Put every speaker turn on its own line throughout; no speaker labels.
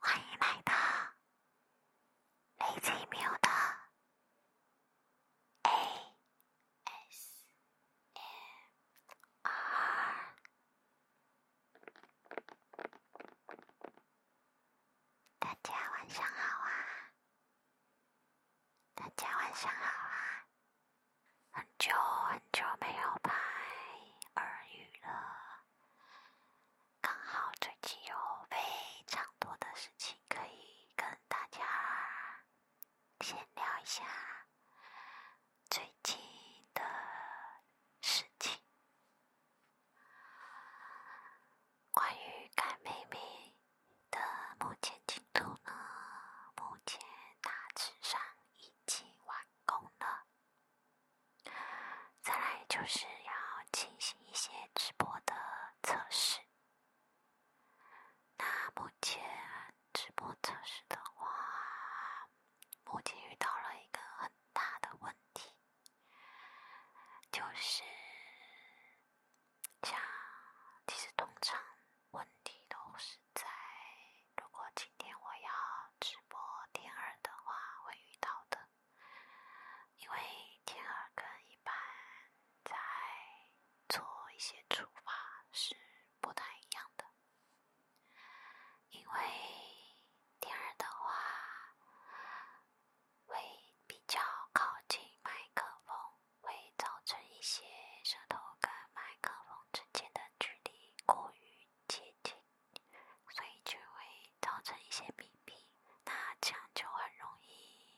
欢迎来到雷惊鸣的 A S M R。大家晚上好啊！大家晚上好啊！很久很久没有拍耳语了，刚好最近有非常多的事情可以跟大家闲聊一下最近的事情。关于改妹妹的目前进度呢？目前大致上已经完工了。再来就是要进行一些直播的测试。那目前直播测试的话，目前遇到了一个很大的问题。就是像，其实通常问题都是在，如果今天我要直播天二的话，会遇到的，因为天二跟一般在做一些处罚是不太一样的。因为第二的话，会比较靠近麦克风，会造成一些舌头跟麦克风之间的距离过于接近，所以就会造成一些鼻鼻，那这样就很容易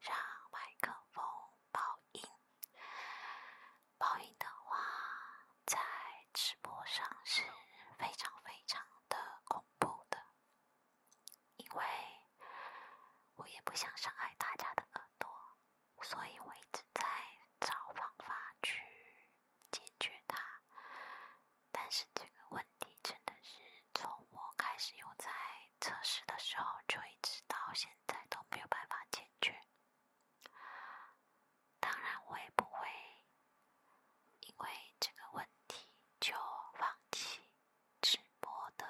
让麦克风爆音。爆音的话，在直播上是非常非常的恐怖的，因为我也不想伤害大家的耳朵，所以我一直在找方法去解决它。但是这个问题真的是从我开始用在测试的时候，就一直到现在都没有办法解决。当然，我也不会因为这个问题就放弃直播的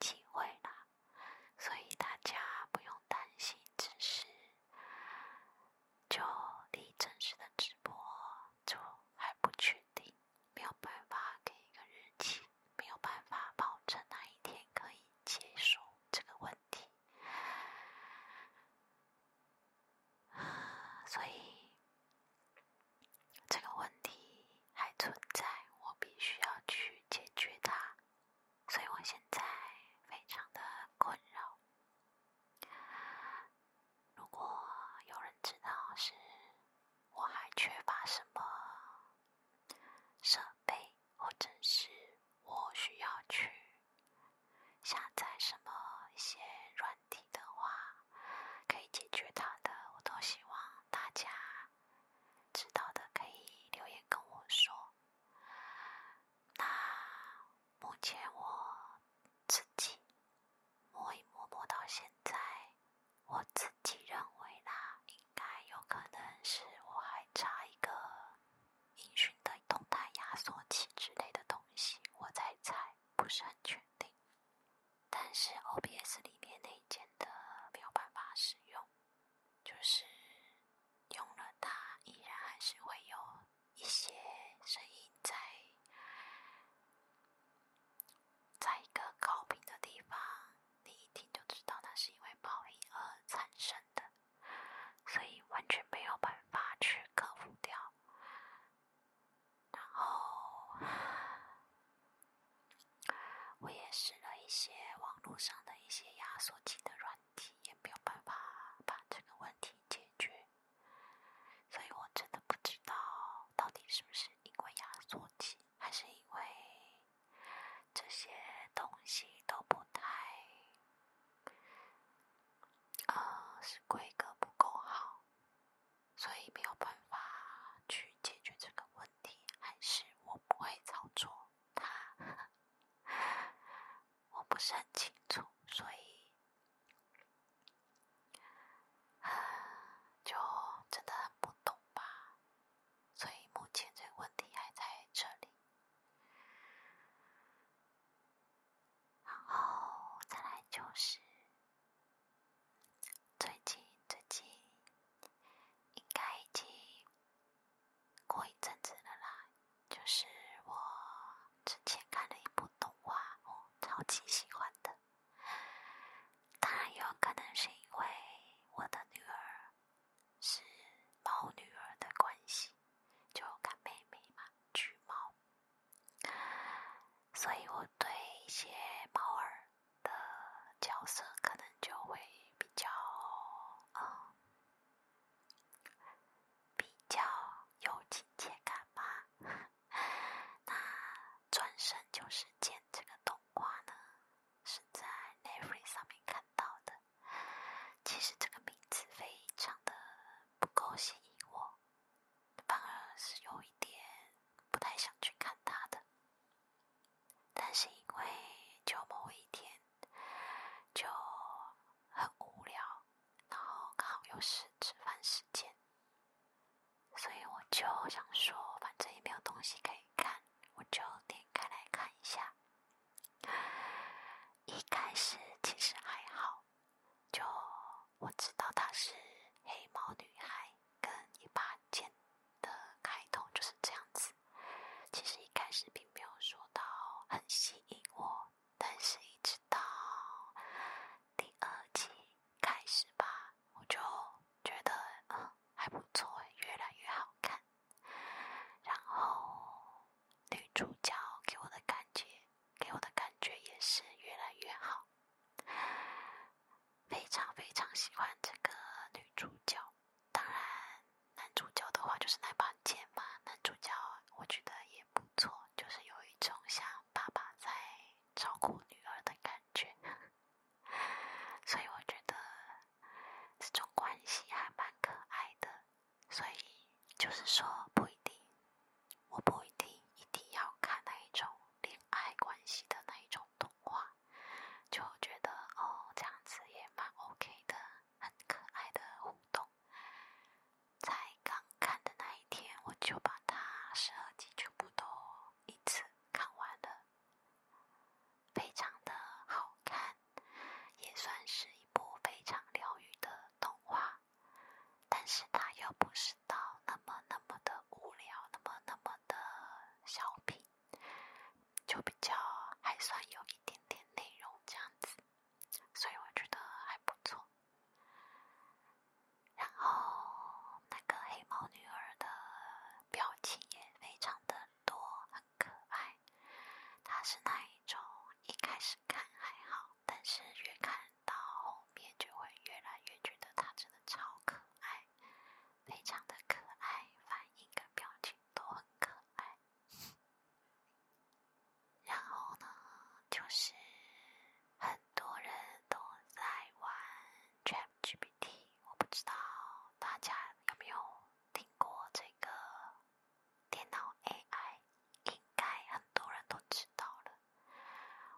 机会啦。所以大家不用担心，只是就离正式的直播就还不确定，没有办法给一个日期，没有办法保证哪一天可以结束这个问题。所以这个问题还存在，我必须要去解决它，所以我现在非常的困扰。如果有人知道是，我还缺乏什么设备？或者是我需要去下载什么一些软体的话，可以解决它的，我都希望大家知道的可以留言跟我说。那目前我自己摸一摸摸到现在，我自己认为啦，应该有可能是我还差一个。音讯的动态压缩器之类的东西，我在猜，不是很确定。但是 OBS 里面内建的没有办法使用，就是用了它，依然还是会有一些声音在在一个高频的地方，你一听就知道那是因为爆音而产生的。所以完全没有办法去克服掉，然后我也试了一些网络上的一些压缩机的软体，也没有办法把这个问题解决，所以我真的不知道到底是不是因为压缩机，还是因为。这些东西都不太，呃，是规格不够好，所以没有办法去解决这个问题，还是我不会操作它？我不是很清楚，所以就真的很不懂吧。所以目前这个问题还在这里。然后再来就是，最近最近应该已经过一阵子了啦。就是我之前看了一部动画，我超级喜欢的。当然有可能是因为我的女儿。是猫女儿的关系，就看妹妹嘛，橘猫。所以我对一些猫儿的角色，可能就会比较啊，比较有亲切感吧。那转身就是见这个动画呢，是在 n a v e 上面看到的。其实这个名字非常的不够吸引我，反而是有一点不太想去看他的。但是因为就某一天就很无聊，然后刚好又是吃饭时间，所以我就想说，反正也没有东西可以看，我就点开来看一下。一开始其实还好，就我知道她是黑猫女孩，跟一把剑的开头就是这样子。其实一开始并没有说到很吸引我，但是一直到第二季开始吧，我就觉得嗯还不错，越来越好看。然后女主角给我的感觉，给我的感觉也是越来越好，非常非常喜欢这个女主角。当然，男主角的话就是那把剑嘛，男主角我觉得也不错，就是有一种像爸爸在照顾女儿的感觉，所以我觉得。这种关系还蛮可爱的，所以就是说不一定，我不一定一定要看那一种恋爱关系的那一种动画，就觉得哦这样子也蛮 OK 的，很可爱的互动。在刚看的那一天，我就把它十二集全部都一次看完了。非常的好看，也算是一部非常疗愈的动画，但是它又不是到那么那么的无聊，那么那么的小品，就比较还算有一点点内容这样子，所以我觉得还不错。然后那个黑猫女儿的表情也非常的。多很可爱，他是那一种一开始看还好，但是越看到后面就会越来越觉得他真的超可爱，非常的可爱，反应跟表情都很可爱。然后呢，就是很多人都在玩 ChatGPT，我不知道大家有没有。听过这个电脑 AI，应该很多人都知道了。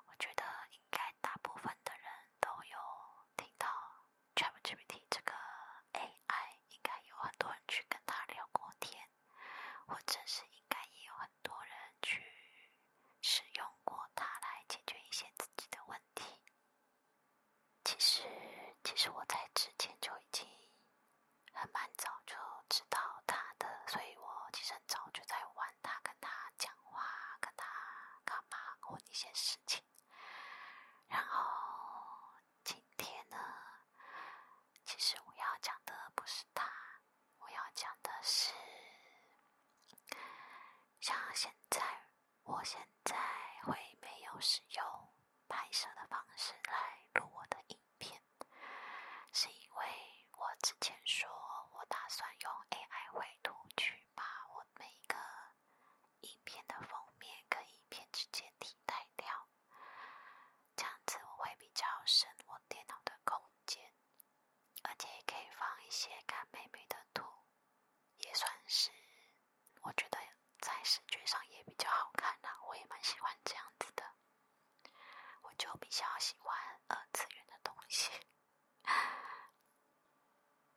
我觉得应该大部分的人都有听到 ChatGPT 这个 AI，应该有很多人去跟他聊过天，或者是应该也有很多人去使用过它来解决一些自己的问题。其实，其实我在之前就已经很蛮早就知道他的，所以我其实很早就在玩他，跟他讲话，跟他干嘛，过一些事情。然后今天呢，其实我要讲的不是他，我要讲的是像现在。我现在会没有使用拍摄的方式来录我的影片，是因为我之前说我打算用 AI 绘图去把我每一个影片的封面跟影片直接替代掉，这样子我会比较省我电脑的空间，而且也可以放一些看妹妹的图，也算是。我觉得在视觉上也比较好看的，我也蛮喜欢这样子的。我就比较喜欢二次元的东西，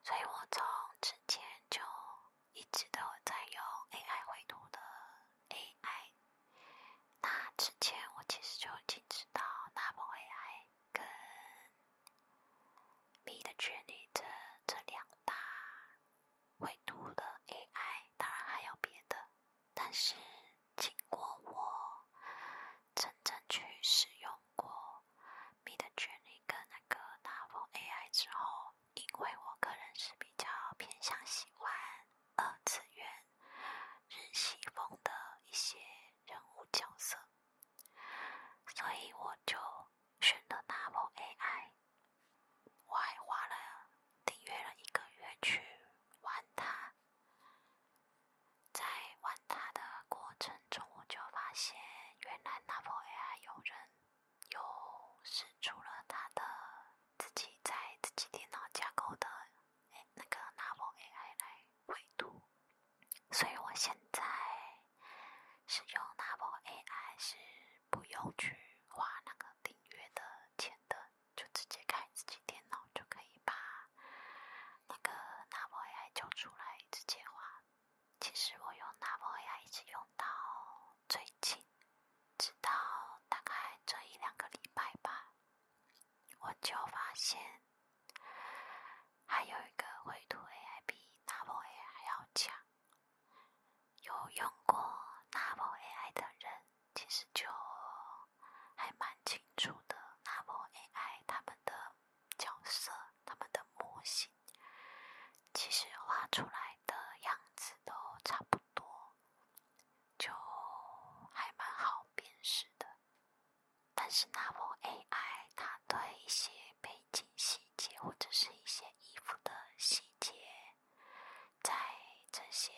所以我从之前就一直都在用 AI 绘图的 AI。那之前我其实就已经知道，他们 AI 跟你的权力这这两大，会读的 AI 当然还有别的，但是经过我真正去使用过你的权力跟那个 n o v AI 之后，因为我个人是比较偏向喜欢二次元日系风的一些人物角色，所以我就。选了 d o u b l AI，我还花了订阅了一个月去玩它。在玩它的过程中，我就发现，原来 d o u b l AI 有人有使出了他的自己在自己电脑架构的那个 n o l AI 来绘图。所以我现在使用 n a v o AI 是不用去花那个订阅的钱的，就直接开自己电脑就可以把那个 n a v o AI 叫出来直接画。其实我用 n a v o AI 一直用到最近，直到大概这一两个礼拜吧，我就发现。还有一个绘图 A I 比 n o v e A I 还要强。有用过 n o v e A I 的人，其实就还蛮清楚的。n o v e A I 他们的角色、他们的模型，其实画出来的样子都差不多，就还蛮好辨识的。但是，那部 AI 它对一些背景细节或者是一些衣服的细节，在这些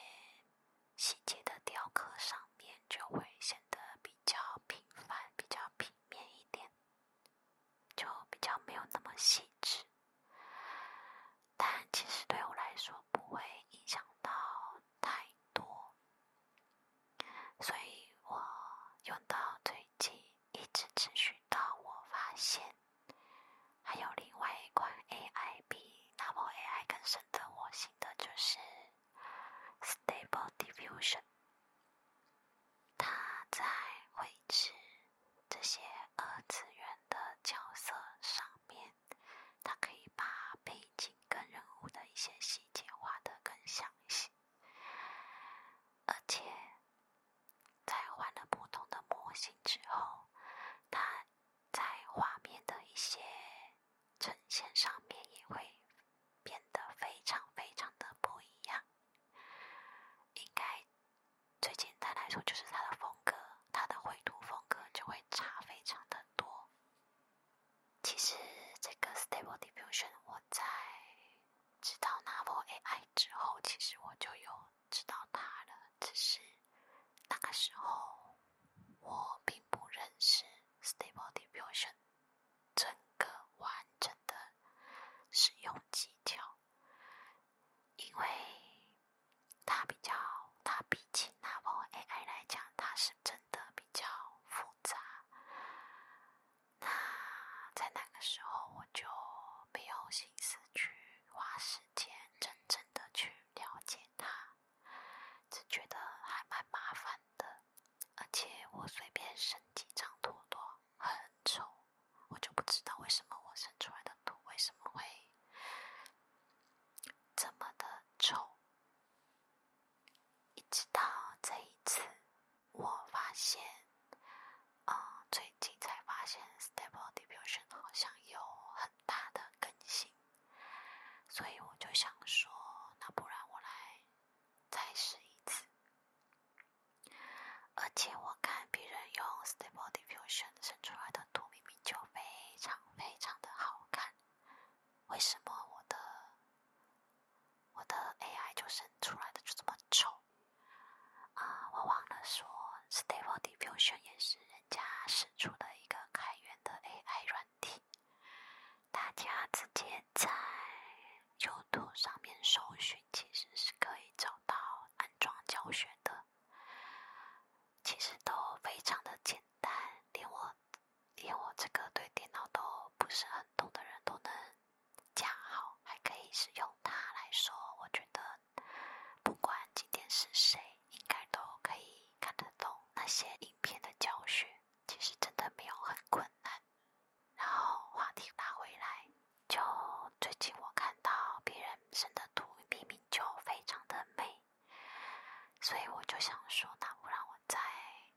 细节的雕刻上面就会显得比较平凡、比较平面一点，就比较没有那么细致。但其实对我来说不会影响到太多，所以我用到最近。一直持续到我发现，还有另外一款 AI 比 Double AI 更深得我心的就是 Stable Diffusion。它在绘制这些二次元的角色上面，它可以把背景跟人物的一些细节画的更详细。而且，在换了不同的模型之后，它在画面的一些呈现上面也会变得非常非常的不一样。应该最简单来说，就是它的风格、它的绘图风格就会差非常的多。其实，这个 Stable Diffusion 我在。知道 Novel AI 之后，其实我就有知道它了。只是那个时候，我并不认识 Stable Diffusion 整个完整的使用技巧，因为它比较，它比起 Novel AI 来讲，它是真的比较复杂。那在那个时候，我就没有心思去花时间，真正的去了解它，只觉得还蛮麻烦的。而且我随便生几张图都很丑，我就不知道为什么我生出来的图为什么会这么的丑。一直到这一次，我发现，呃，最近才发现 Stable Diffusion 好像有很大的更新，所以我就想说，那不然我来再试一次。而且我看别人用 Stable Diffusion 生出来的图，明明就非常非常的好看，为什么我的？我的 AI 就生出来的就这么丑啊！我忘了说，Stable Diffusion 也是人家生出的一个开源的 AI 软体，大家直接在 YouTube 上面搜寻，其实是可以找到安装教学的。其实都非常的简单，连我。连我这个对电脑都不是很懂的人都能讲好，还可以使用它来说，我觉得不管今天是谁，应该都可以看得懂那些影片的教学。其实真的没有很困难。然后话题拉回来，就最近我看到别人生的图明明就非常的美，所以我就想说，那不然我再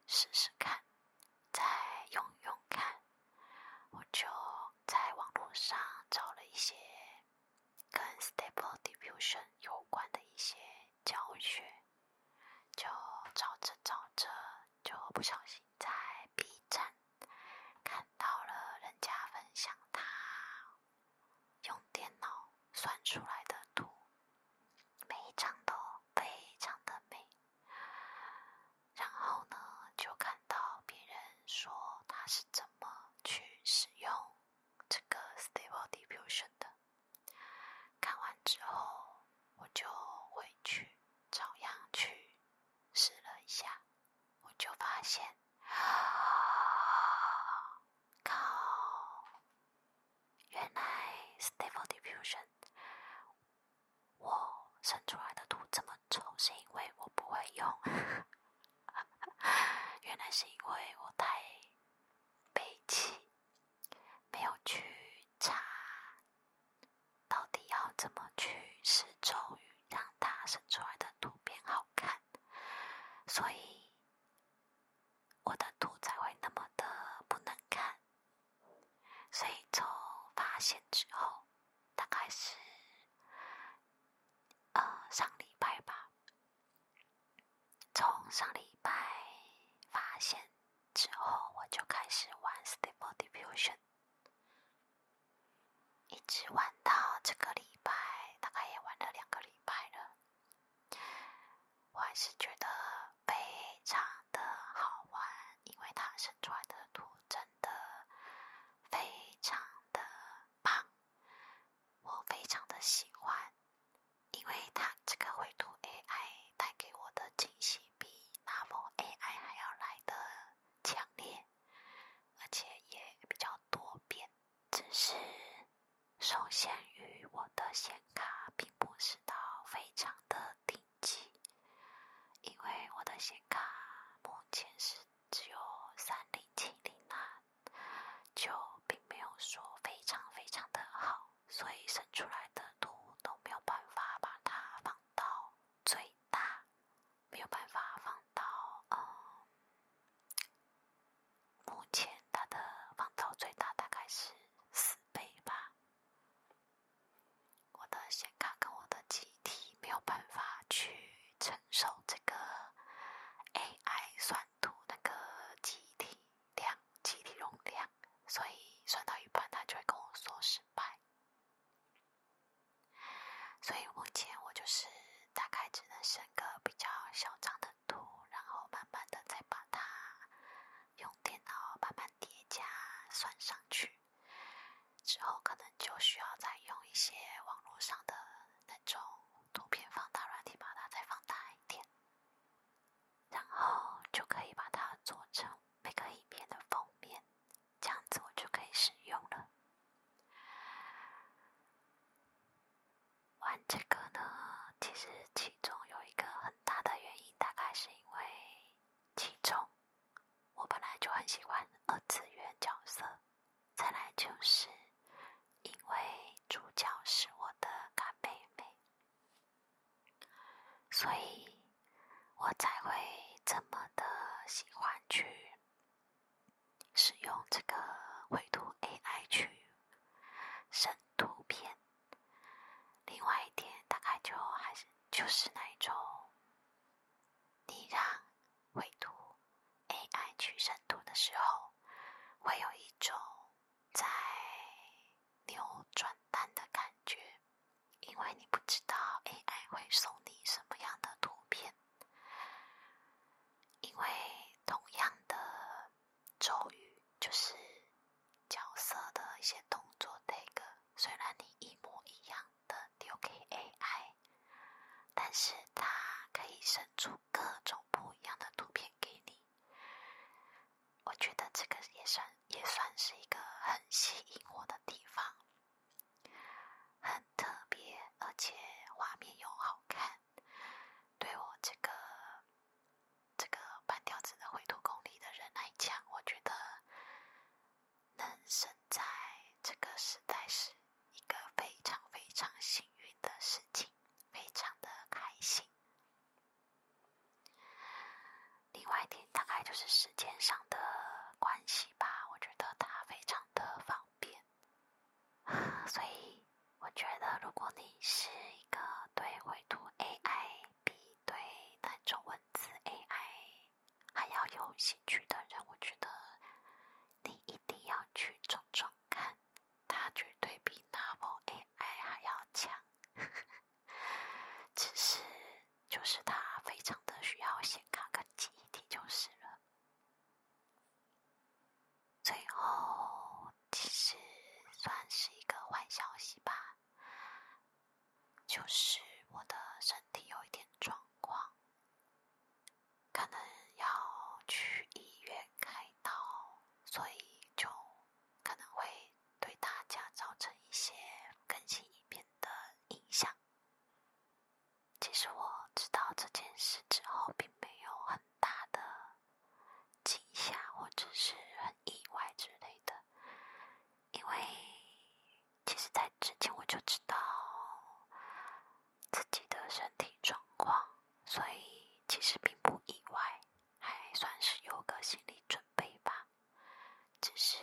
试试看。再用用看，我就在网络上找了一些跟 stable d i f f r u s i o n 有关的一些教学，就找着找着，就不小心在 B 站看到了人家分享他用电脑算出来的图。每一张都非常的美，然后呢，就看到别人说他是怎么去使用这个 Stable Diffusion 的，看完之后我就回去照样去试了一下，我就发现啊，原来 Stable Diffusion 我生出来的图这么丑，是因为我不会用。原来是因为我太悲戚，没有去查到底要怎么去施咒语，让它生出来的图变好看，所以我的图才会那么的不能看。所以从发现之后，大概是呃上礼拜吧。从上礼拜发现之后，我就开始玩《Stable Diffusion》，一直玩到这个礼拜，大概也玩了两个礼拜了。我还是觉得。非常的好玩，因为它生出来的图真的非常的棒，我非常的喜欢，因为它这个绘图 AI 带给我的惊喜比那某 AI 还要来的强烈，而且也比较多变，只是。受限于我的显卡，并不是到非常的顶级，因为我的显卡目前是只有三零七零啊，就并没有说非常非常的好，所以生出来的图都没有办法把它放到最大，没有办法放到嗯目前它的放大最大大概是四倍吧。我的显卡跟我的机体没有办法去承受这个 A I 算图那个机体量、机体容量，所以算到一半它就会跟我说失败。所以目前我就是大概只能升个比较小张的。图，然后慢慢的再把它用电脑慢慢叠加算上去，之后可能就需要再用一些网络上的那种图片放大软体把它再放大一点，然后就可以把它做成每个影片的封面，这样子我就可以使用了。玩这个呢，其实其中有一个很大的原因，大概是因为其中我本来就很喜欢二次元角色，再来就是因为主角是我的干妹妹，所以我才会这么的喜欢去使用这个绘图 AI 去生图片。另外一点，大概就还是就是那一种，你让绘图 AI 去审图的时候，会有一种在扭转蛋的感觉，因为你不知道 AI 会送你什么样的图片，因为同样的。咒语就是角色的一些动作那个，虽然你一模一样的丢给 AI，但是它可以生出各种不一样的图片给你。我觉得这个也算也算是一个很吸引我的地方，很特别，而且画面又好看。对我这个这个半吊子的灰图功力的人来讲，我觉得能生在这个时代是一个非常非常幸运的事情，非常的开心。另外一点，大概就是时间上的关系吧，我觉得它非常的方便。所以，我觉得如果你是一个对绘图 A I、对那种文字 A I 还要有兴趣的人，我觉得你一定要去种种看，它绝对比 Nova A I 还要强。只是，就是它非常的需要显卡跟记忆体，就是了。最后，其实算是一个坏消息吧，就是我的身体有一点状况，可能要去医院开刀，所以就可能会对大家造成一些更新影片的影响。其实我知道这件事之后，并没有很。大的惊吓，或者是很意外之类的，因为其实，在之前我就知道自己的身体状况，所以其实并不意外，还算是有个心理准备吧。只是，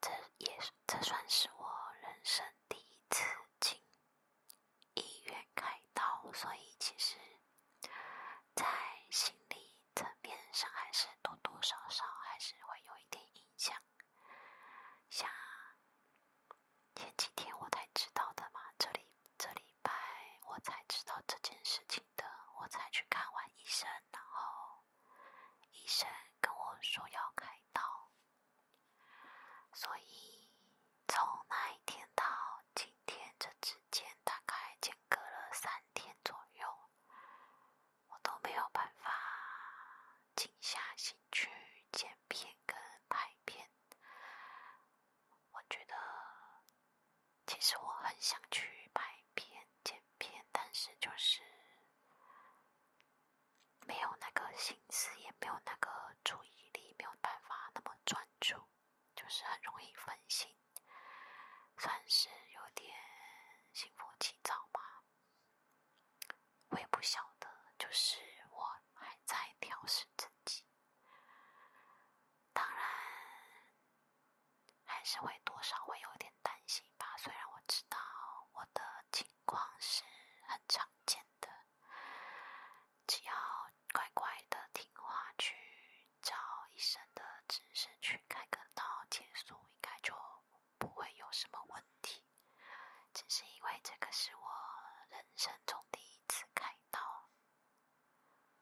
这也是，这算是我人生第一次经医院开刀，所以其实，在心理层面上还是多多少少还是会有一点影响。像前几天我才知道的嘛，这里这礼拜我才知道这件事情的，我才去看完医生，然后医生跟我说要开刀。所以，从那一天到今天这之间，大概间隔了三天左右，我都没有办法静下心去剪片跟拍片。我觉得，其实我很想去拍片、剪片，但是就是……没有那个心思，也没有那个注意力，没有办法那么专注，就是很容易分心，算是有点心浮气躁吧。我也不晓得，就是我还在调试自己。当然，还是会多少会有点担心吧。虽然我知道我的情。光是很常见的，只要乖乖的听话，去找医生的指示去开个刀，结束，应该就不会有什么问题。只是因为这个是我人生中第一次开刀，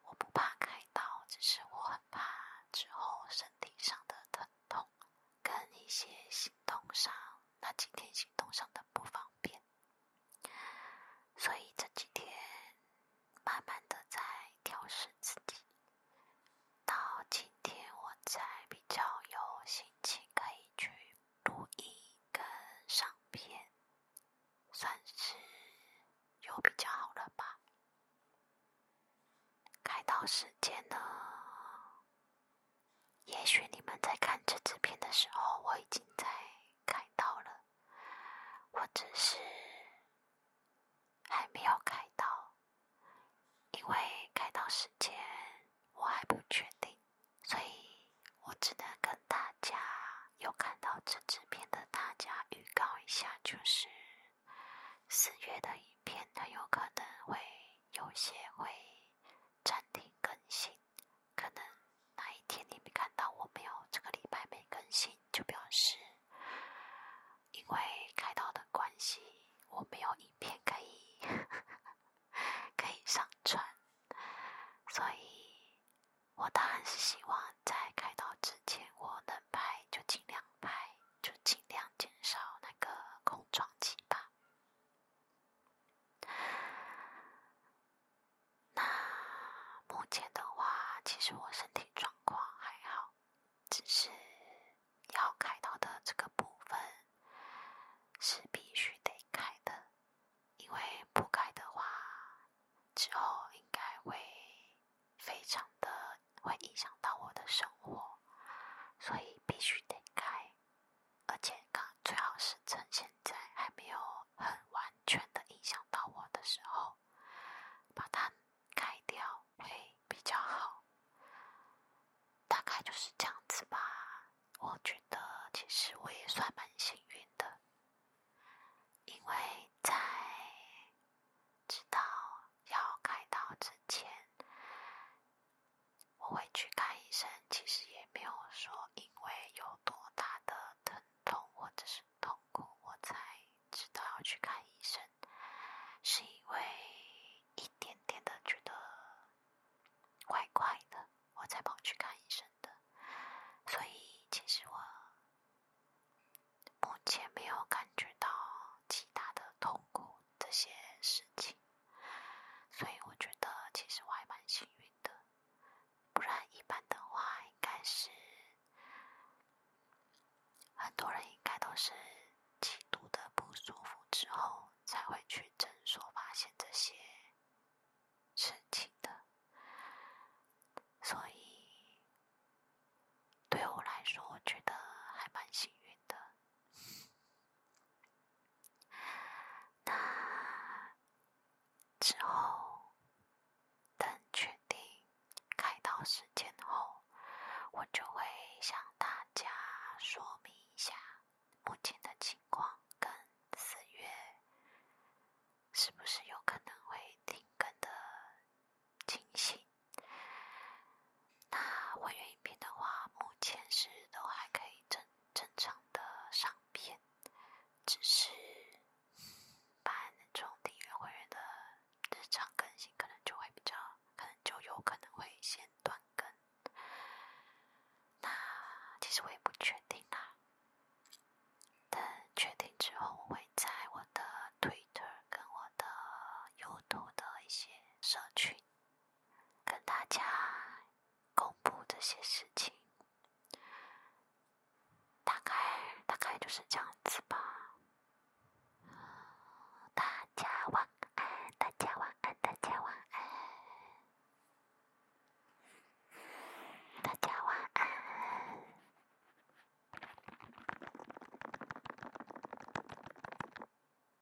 我不怕开刀，只是我很怕之后身体上的疼痛，跟一些行动上那几天行动上的不方便。所以这几天慢慢的在调试自己，到今天我才比较有心情可以去录音跟上片，算是有比较好了吧。开到时间了。也许你们在看这支片的时候，我已经在开刀了，我只是还没有开刀，因为开刀时间我还不确定，所以我只能跟大家有看到这支片的大家预告一下，就是四月的影片很有可能会有些会暂停更新。可能那一天你没看到，我没有这个礼拜没更新，就表示因为开刀的关系，我没有影片可以 可以上传，所以我当然是希望在开刀之前我能拍，就尽量拍，就尽量减少那个空撞期吧。那目前的话，其实我身体状况还好，只是要开刀的这个部分是必须得开的，因为不开的话，之后应该会非常的会影响到我的生活，所以必须得开。而且，刚最好是趁现在还没有很完全的影响到我的时候，把它开掉会比较好。大概就是这样子吧。我觉得其实我也算蛮幸运的，因为在知道要开刀之前。我会去看医生，其实也没有说因为有多大的疼痛或者是痛苦，我才知道要去看医生，是因为一点点的觉得怪怪的，我才跑去看医生的。所以，其实我目前没有感觉到其他的痛苦这些事情。所以我觉得，其实我还蛮幸运的。不然一般的话，应该是很多人应该都是极度的不舒服之后，才会去诊所发现这些事情的。所以，对我来说，我觉得还蛮幸运的。那之后，等确定开刀时间后，我就会向大家说明一下目前的情况，跟四月是不是有可能会停更的惊喜。那会员音频的话，目前是都还可以正正常的上片，只是办种订阅会员的日常更新可能就会比较，可能就有可能会先断更。那其实我也不确定啦，等确定之后，我会在我的 Twitter 跟我的 YouTube 的一些社群。跟大家公布这些事情，大概大概就是这样子吧。大家晚安，大家晚安，大家晚安，大家晚安。